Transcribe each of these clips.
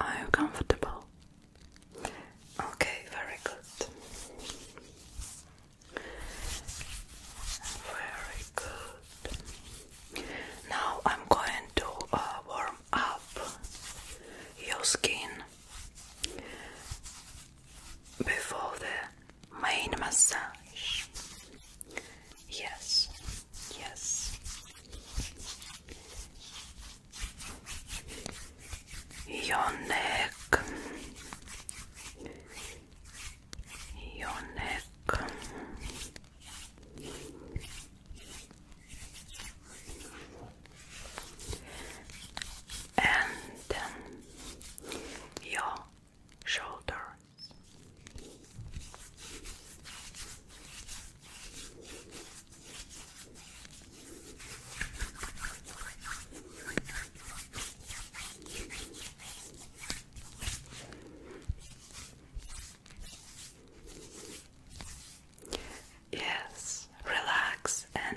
Are you comfortable? Okay, very good. Very good. Now I'm going to uh, warm up your skin before the main massage. Yes, yes. Your neck. Your neck. And um, your shoulders. Yes, relax and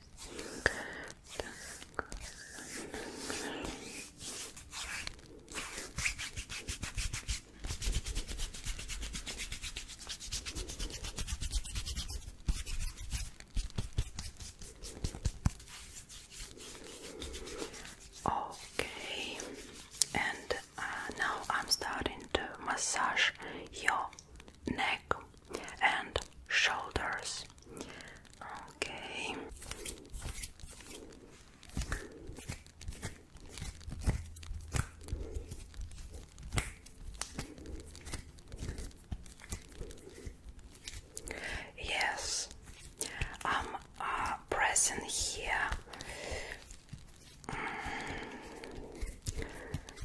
Okay, and uh, now I'm starting to massage your neck and shoulders. Okay. Yes, I'm uh, pressing here. Mm.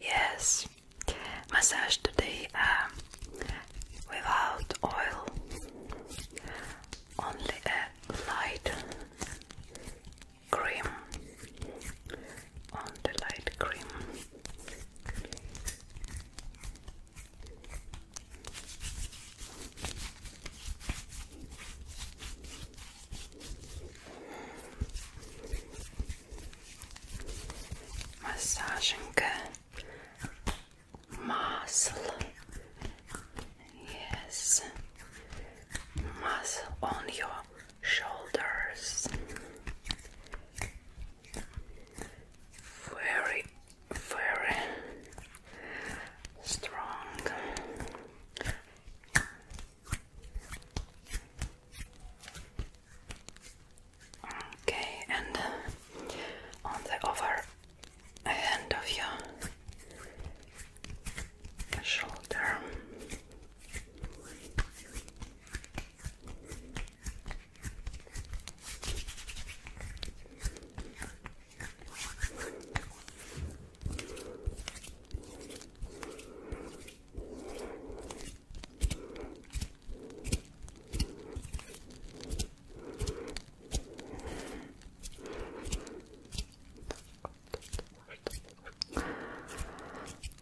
Yes, massage today um, without oil, only a light cream on the light cream. Masajınka muscle. Yes. Muscle on your shoulders. Very, very strong. Okay, and uh, on the other end of your shoulder.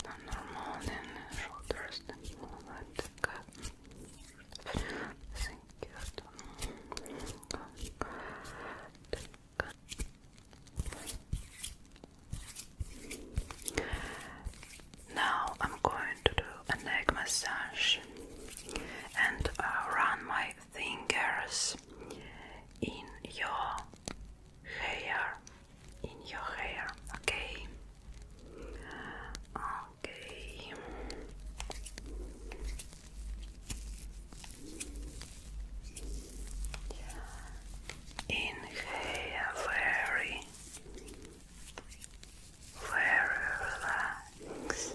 Not normal shoulders and all that Thank you. Now I'm going to do a neck massage and uh, run my fingers in your hair. In your hair, okay? Okay. Inhale, very, very relaxed.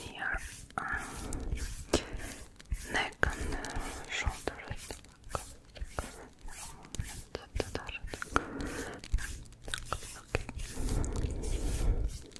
Here, um, neck and uh, shoulder. Okay.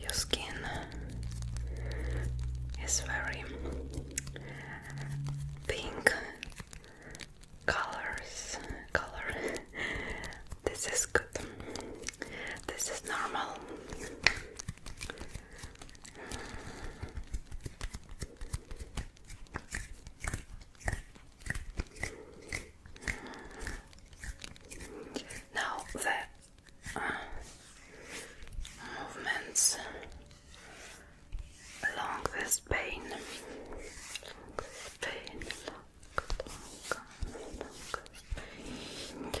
Your skin is very pink colors color this is good this is normal now the movements along this vein, vein, long, long, long, long, long, long,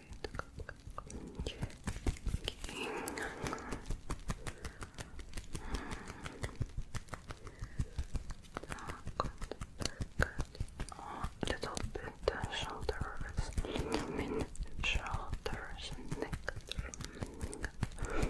a little bit uh, shoulders, little Okay.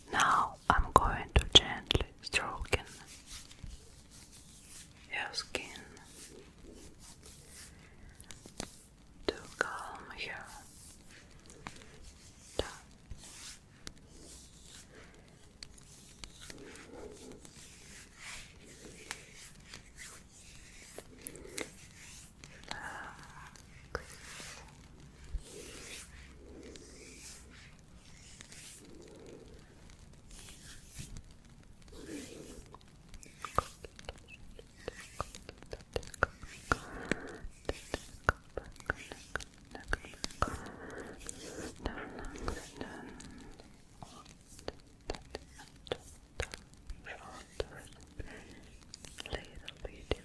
Now I'm going to gently stroke your skin to calm you down. Little video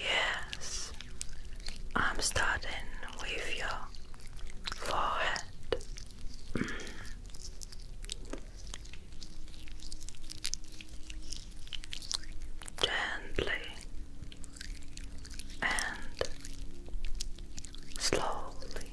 Yes, I'm starting with your forehead. Mm gently and slowly.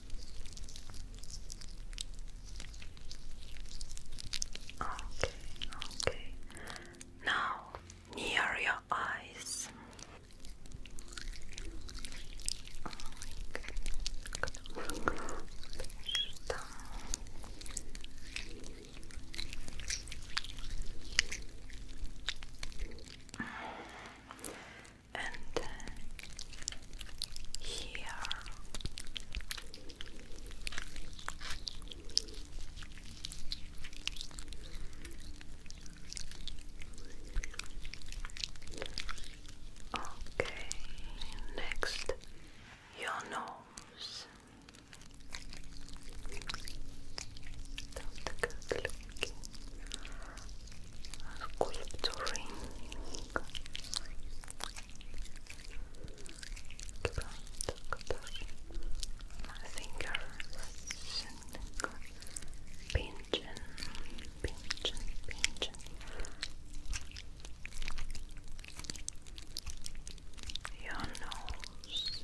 Okay, okay. Now near your eyes and uh, here. Okay, next your nose. not go looking sculpturing finger pigeon, pigeon, pigeon your nose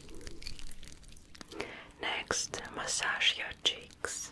Next, massage your cheeks.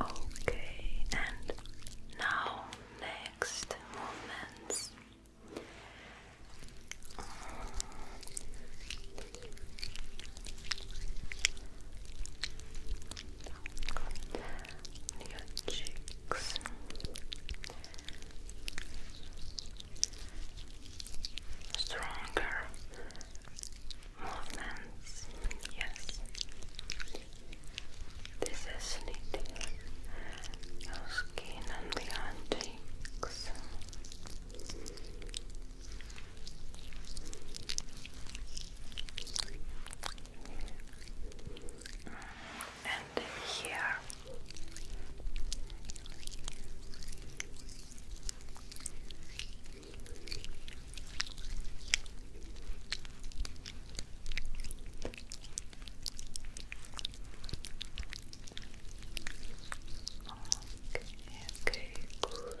Okay, and now next movements on cheeks. Stronger movements, yes. This is knitting your skin and the antiques and here. Okay, good.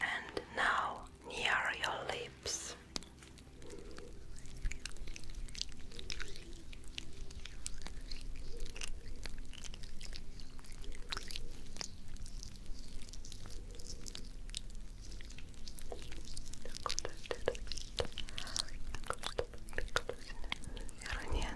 And now near your lips rannych głos. And here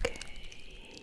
Okay,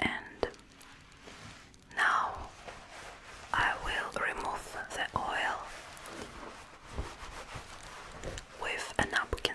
And now I will remove the oil with a napkin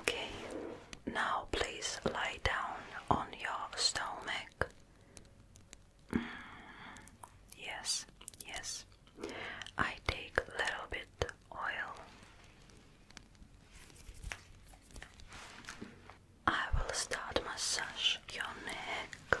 Okay, now please lie down on your stomach. Mm, yes, yes. I take a little bit oil. I will start massage your neck.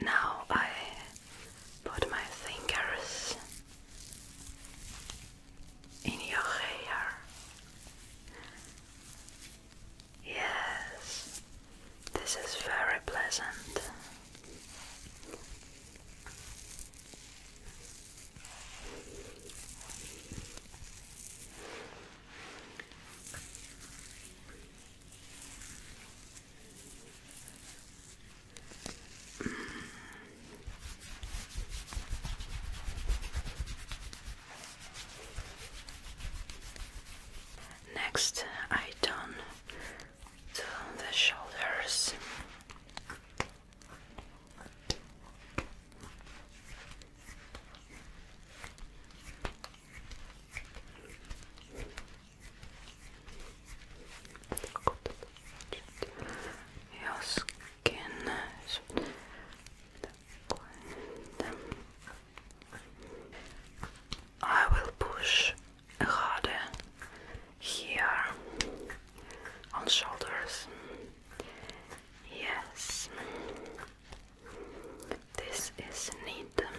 Now I put my fingers in your hair. Yes, this is very pleasant. Next, I done to the shoulders joskin I will push harder here on shoulders. Yes, this is needed.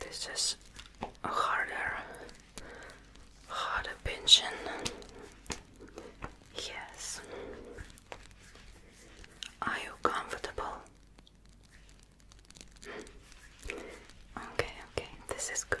this is a harder, harder pension. Yes. Are you comfortable? Okay, okay, this is good.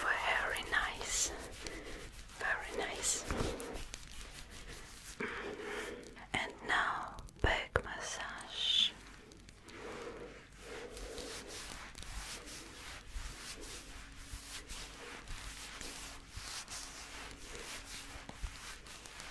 Very nice, very nice. And now back massage.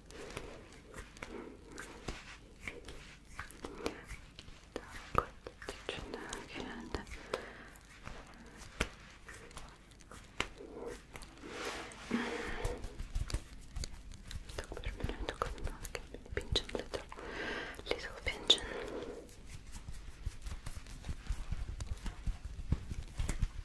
Так, вот, да. Так, примерно такой маленький пинчен, little, little pigeon.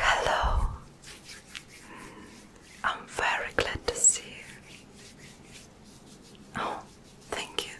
Hello, I'm very glad to see you. Oh, thank you.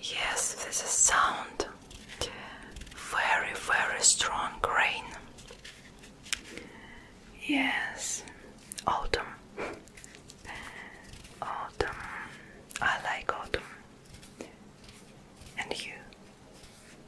Yes, this is sound. Very, very strong grain. Yes, autumn. Autumn. I like autumn. And you?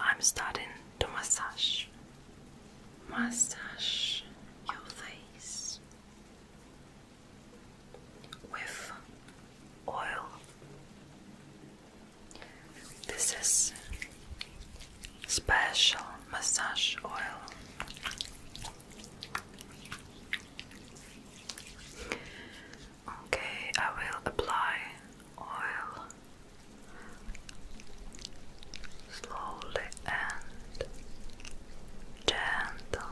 I'm starting to massage. Massage your face with oil. This is special massage oil. Okay, I will apply oil slowly and gentle.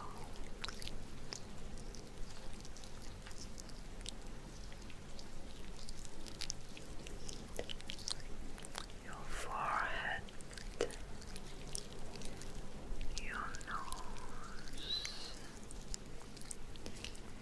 Your forehead, your nose,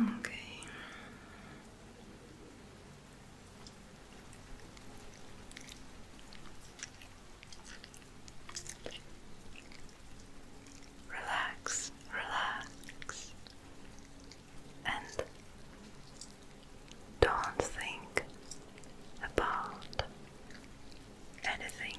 Okay. Relax, relax, and don't think about anything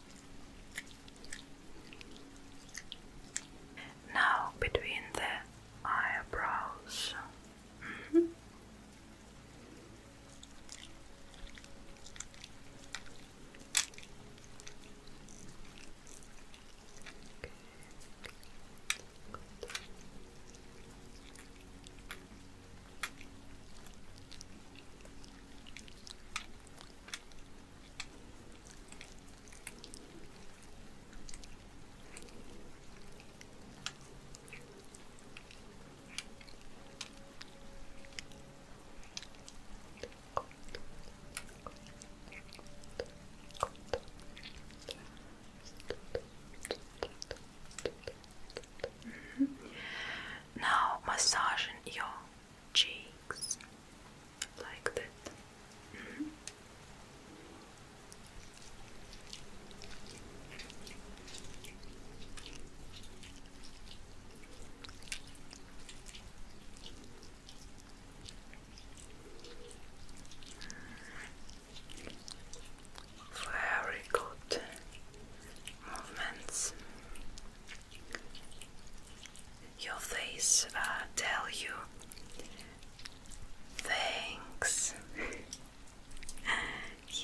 Now between the eyebrows. Mm-hmm. Mm -hmm. Now your cheeks like that. Mm-hmm. Very good movements. Your face uh, tell you thanks. yes.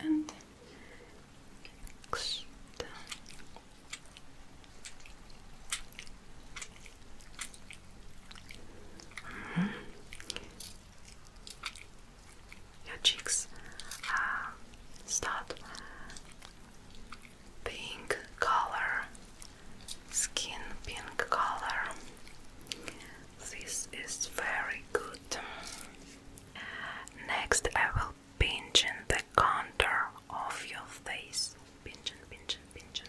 and mm-hmm. cheeks uh, start pink color skin pink color this is very good. Next, I will pinch in the contour of your face. Pinch and pinch pinch.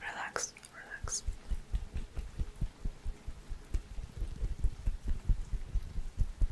Relax, relax.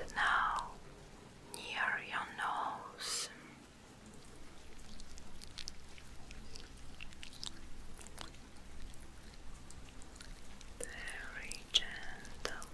And now near your nose. Very gentle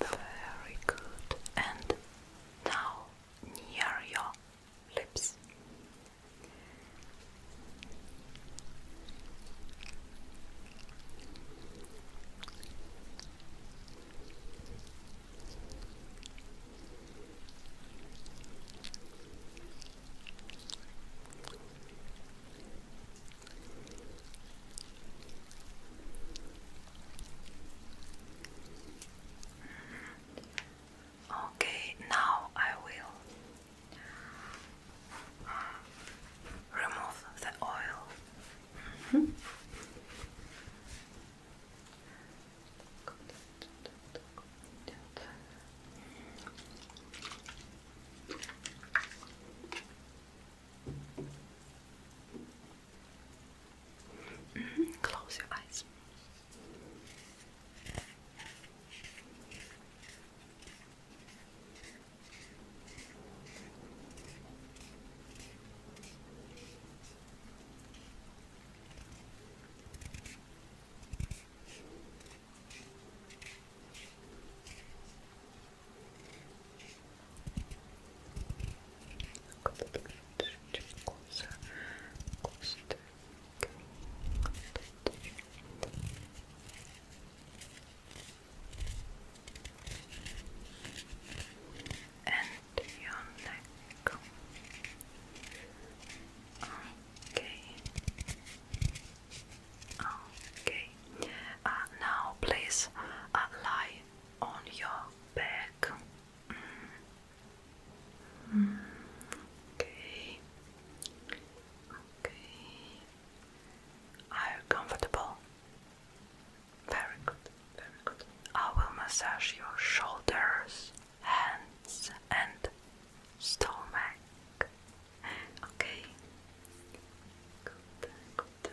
very good. And now near your lips. Okay, now I will remove the oil. Mm-hmm. Close your eyes. Look a little bit closer, closer to and your neck. Okay. Okay. Uh, now, please uh, lie on your back. Mm okay. Okay. Are you comfortable? Very good, very good. I will massage your shoulders, hands, and stomach. Okay. Good, good.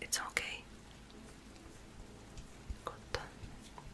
It's okay. Cotton.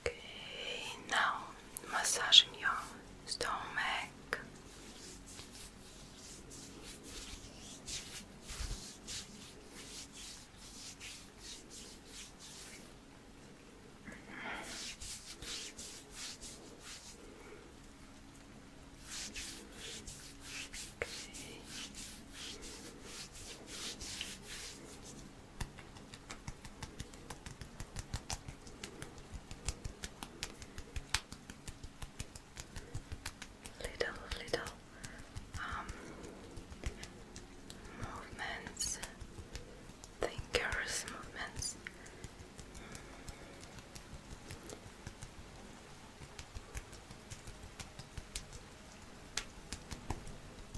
Okay, now massaging your stomach little little um, movements, thinkers movements.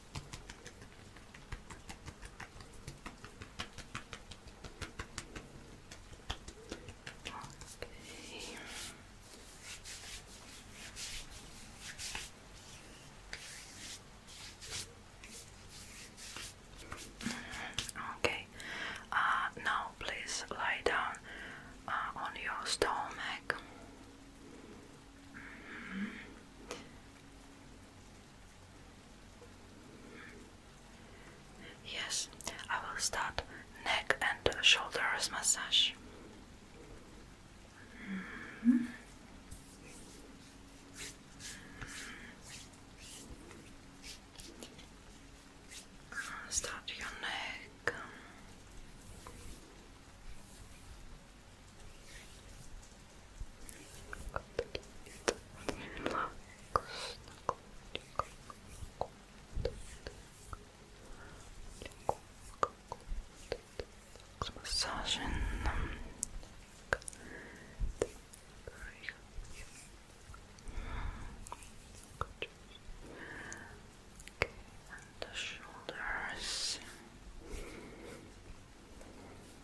Okay. Okay. Uh, now please lie down uh, on your stomach. Mm-hmm. Yes, I will start neck and shoulders massage. Mm-hmm. Start your neck. Massaging them. Okay, and the shoulders.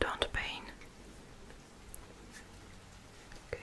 Don't pain. Okay.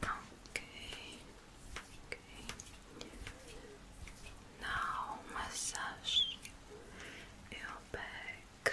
Okay. Okay. Now massage your back.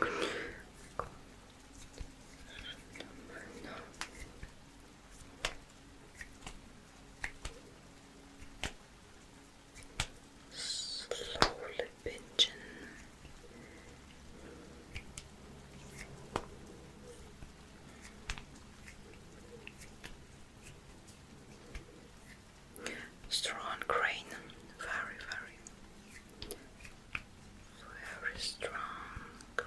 Slowly pinching Strong grain, very, very, very strong grain.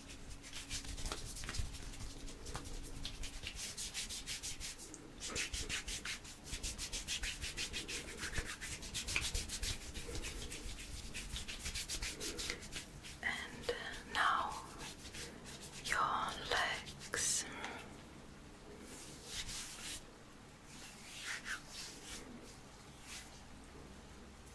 And uh, now your legs.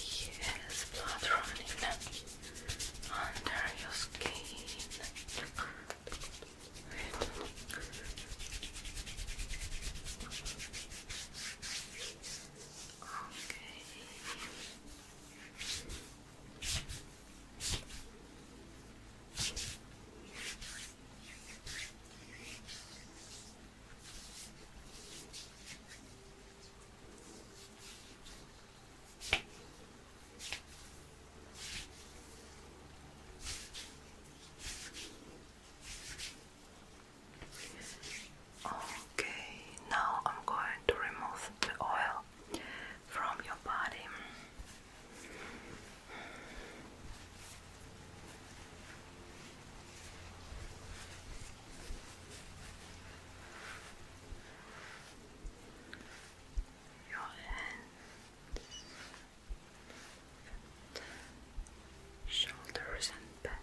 Yes, blood running under your skin. Okay. Okay, now I'm going to remove the oil from your body. Your hands, shoulders, and back.